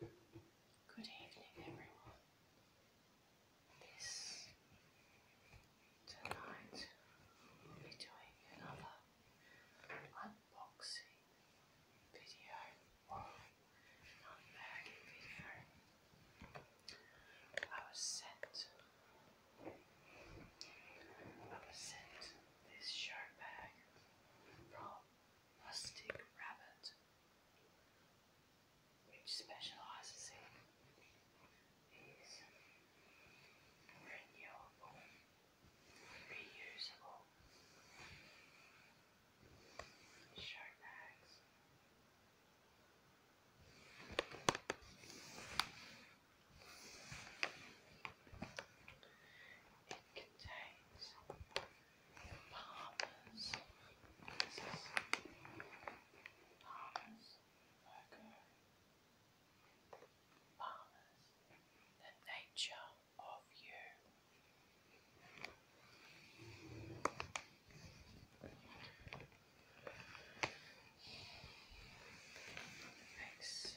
Good evening, everyone. This tonight we'll doing another unboxing video or video. I was sent I was sent this show bag from Rustic Rabbit which specializes in renewable, reusable show bags. It contains Palmer's. This is The nature of you. Makes nice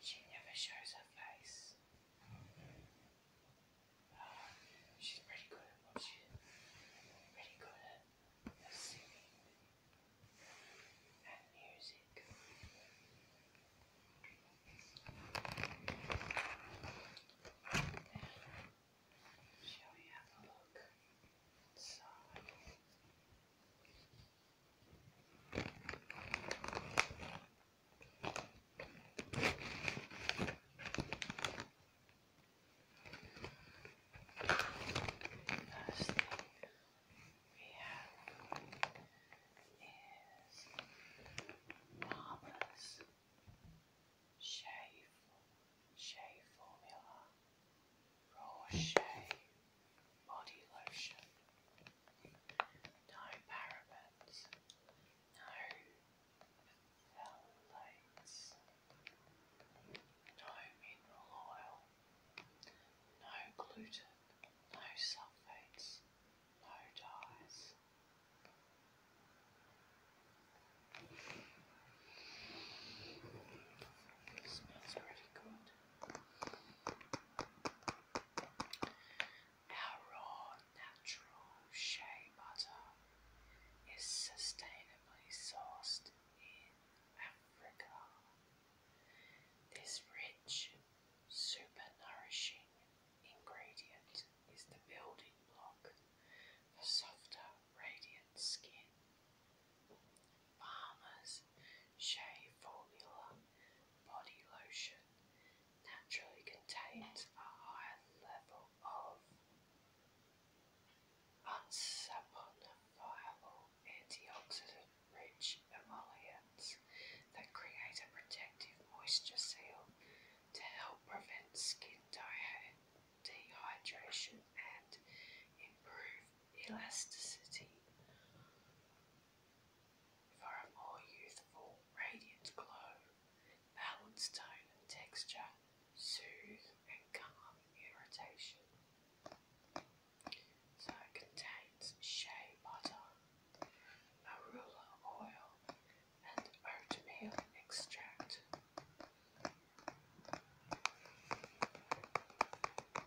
She never shows her face. Um, she's pretty good at what pretty good at, singing and music. Shall we have a look inside? First thing we have is Marvelous Shea, shea Formula Raw Shea Body Lotion no parabens. no phthalates, no mineral oil, no gluten, no sulfates, no dyes. smells pretty good. Our raw natural shea butter is sustainably sourced in Africa. This rich, super nourishing ingredient is the building block for softer, radiant skin. Bahamas Shea Formula Body Lotion naturally contains a higher level of unsaponifiable antioxidant rich emollients that create a protective moisture seal to help prevent skin dehydration and improve elasticity for a more youthful, radiant glow, balanced tone and texture, soothe and calm irritation. So it contains shea butter, marula oil, and oatmeal extract.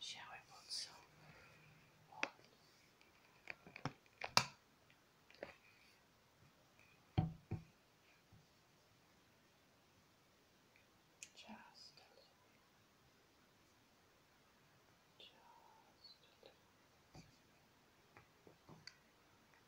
Shall we put some Just just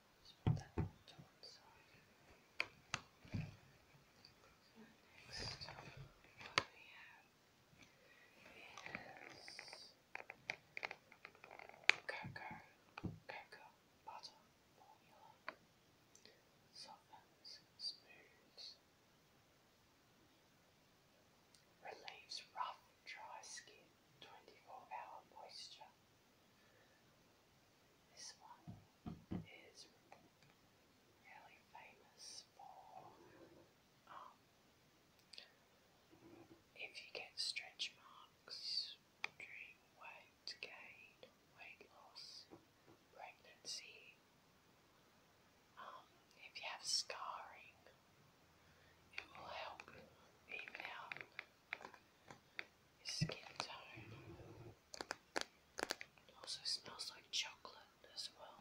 let put that to one side. next, we have cocoa, cocoa butter formula. Softens, smooths, relieves rough, dry skin. 24 hour moisture. This one is really famous for um, if you get stretch marks weight gain, weight loss, pregnancy, um, if you have scarring, it will help even out skin tone also smells like chocolate as well.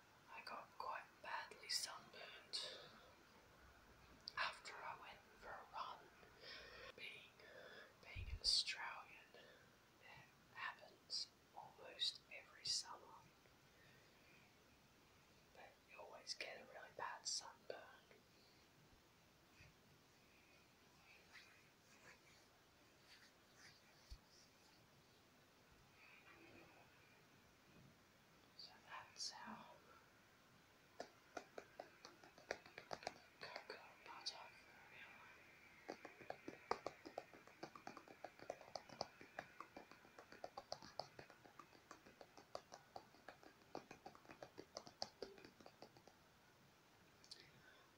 I got quite badly sunburned after I went for a run. Being, being an Australian, it happens almost every summer. But you always get a really bad sunburn. So that's how cocoa butter formula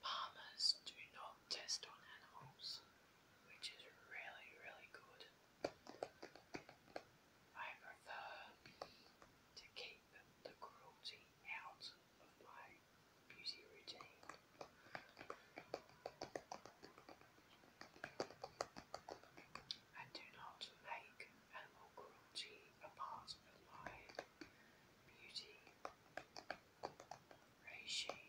Farmers do not test on animals, which is really, really good. I prefer to keep the cruelty out of my beauty routine. I do not make animal cruelty a part of my beauty regime.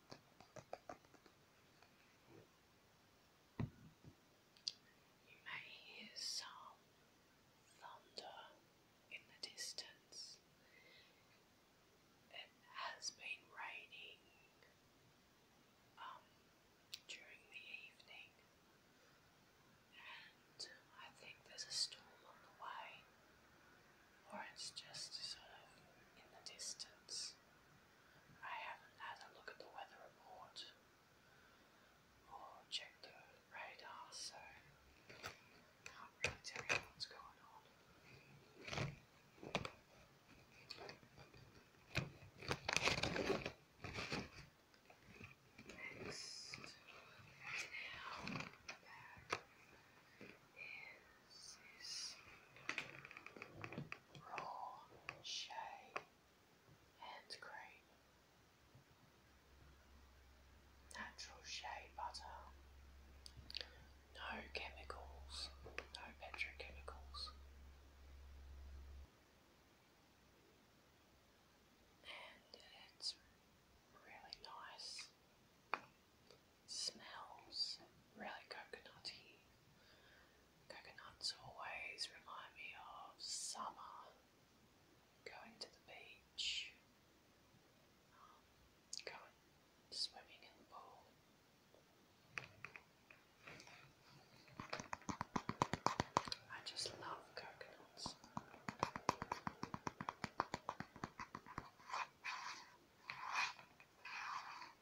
You may hear some thunder in the distance. It has been raining um, during the evening, and I think there's a storm on the way or it's just sort of in the distance. I haven't had a look at the weather report or checked the radar, so can't really tell you what's going on. Next, now, is raw shea hand cream, natural shea butter, no chemicals, no petrochemicals. And it's really nice. Smells really coconutty. Coconuts always remind me of summer, going to the beach, um, going swimming in the pool. I just love coconuts.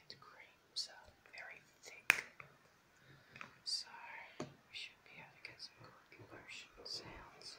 and creams are very thick, so we should be able some good lotion sounds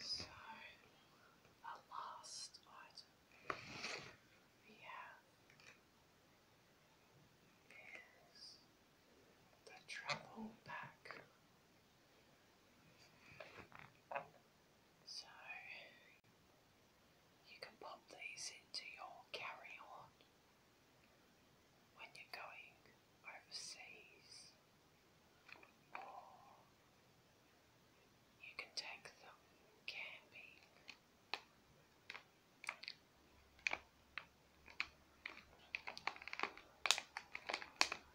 So, the last item we have is the travel pack. So you can pop these into your carry on when you're going overseas, or you can take them camping.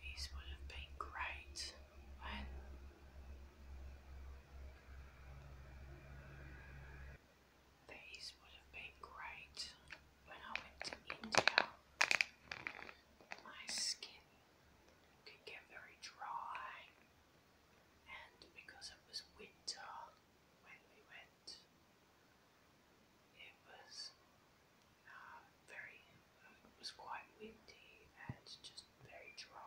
These would have been great these would have been great when I went to India, my skin could get very dry, and because it was winter when we went, it was uh, very, it was quite windy and just very dry.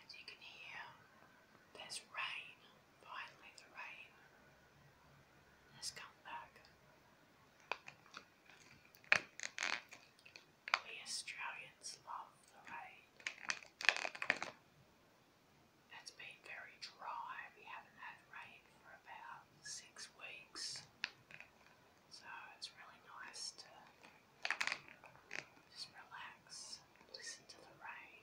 and you can hear there's rain. Finally, the rain has come back. We Australians love the rain. It's been very dry. We haven't had rain for about six weeks. So it's really nice to just relax, listen to the rain.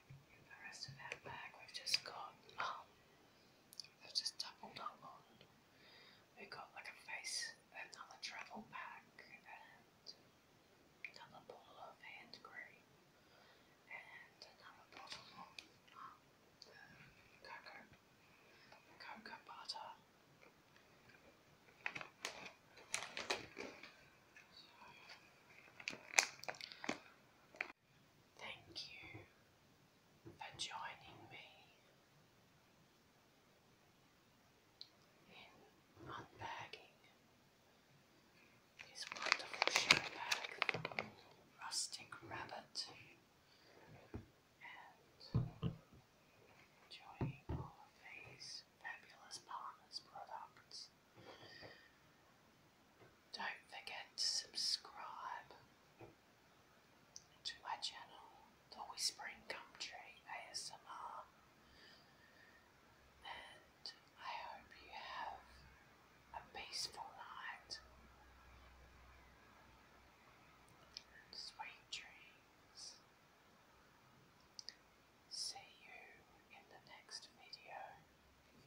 in the rest of that bag we've just got, um, have just doubled up on, we've got like a face, another travel pack, and another bottle of hand cream, and another bottle of um, the cocoa, cocoa butter. Thank you for joining me in unbagging this wonderful show bag Rustic Rabbit and enjoying all of these fabulous partners products. Don't forget to subscribe to my channel, The Whispering Gumtree ASMR, and I hope you have a peaceful night. Sweet dreams. See you in the next video.